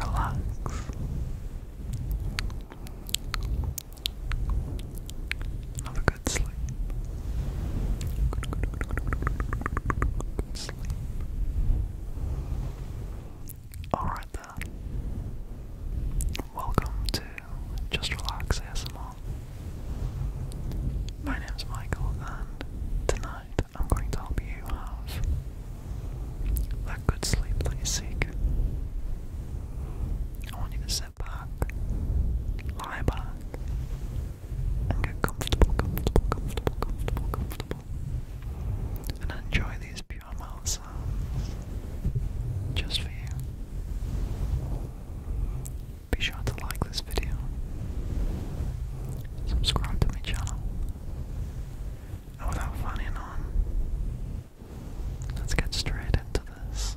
Relax. Have a good sleep. Alright then. Welcome to Just Relax well. My name's Michael, and tonight I'm going to help you have that good sleep that you seek. I want you to sit back, lie back, and get comfortable, comfortable, comfortable, comfortable, comfortable, and enjoy these pure sounds just for you. Be sure to like this video, subscribe to my channel, and without fanning on, let's get straight into this.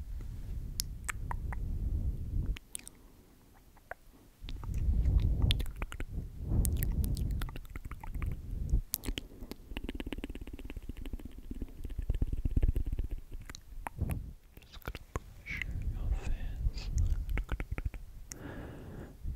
Just gonna push your face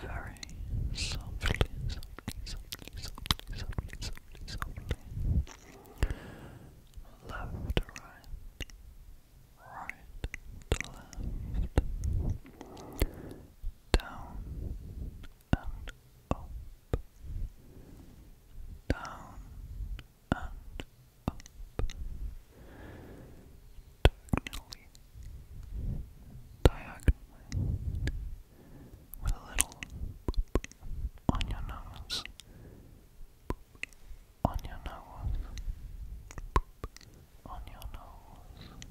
very softly, softly, softly, softly, softly, softly, softly left to right, right left, down and up, down and up, diagonally, diagonally, with a little boop on your nose on your nose, on your nose. Just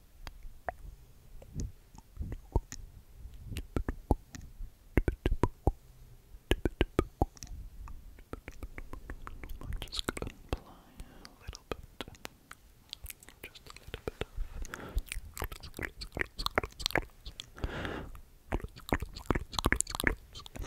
I'm just gonna apply a little bit, just a little bit of close, close, close, close, close, close, close, close, close.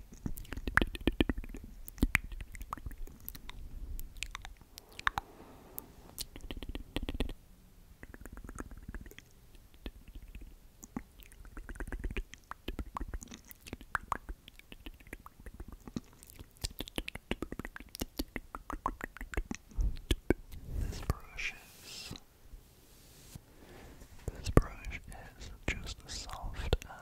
This brush is. This brush is just as soft uh,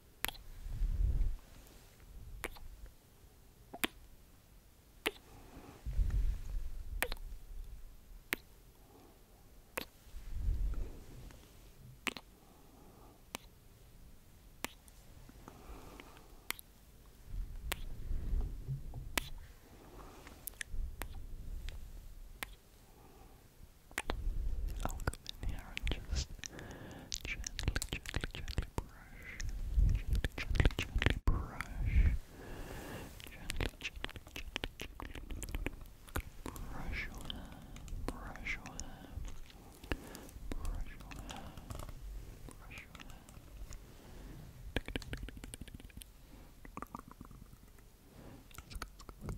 I'll come in here and just Gently, gently, gently brush. Gently, gently, gently brush. Gently, gently, gently, gently. Brush your hair. Brush your hair. Brush your hair. Brush your hair.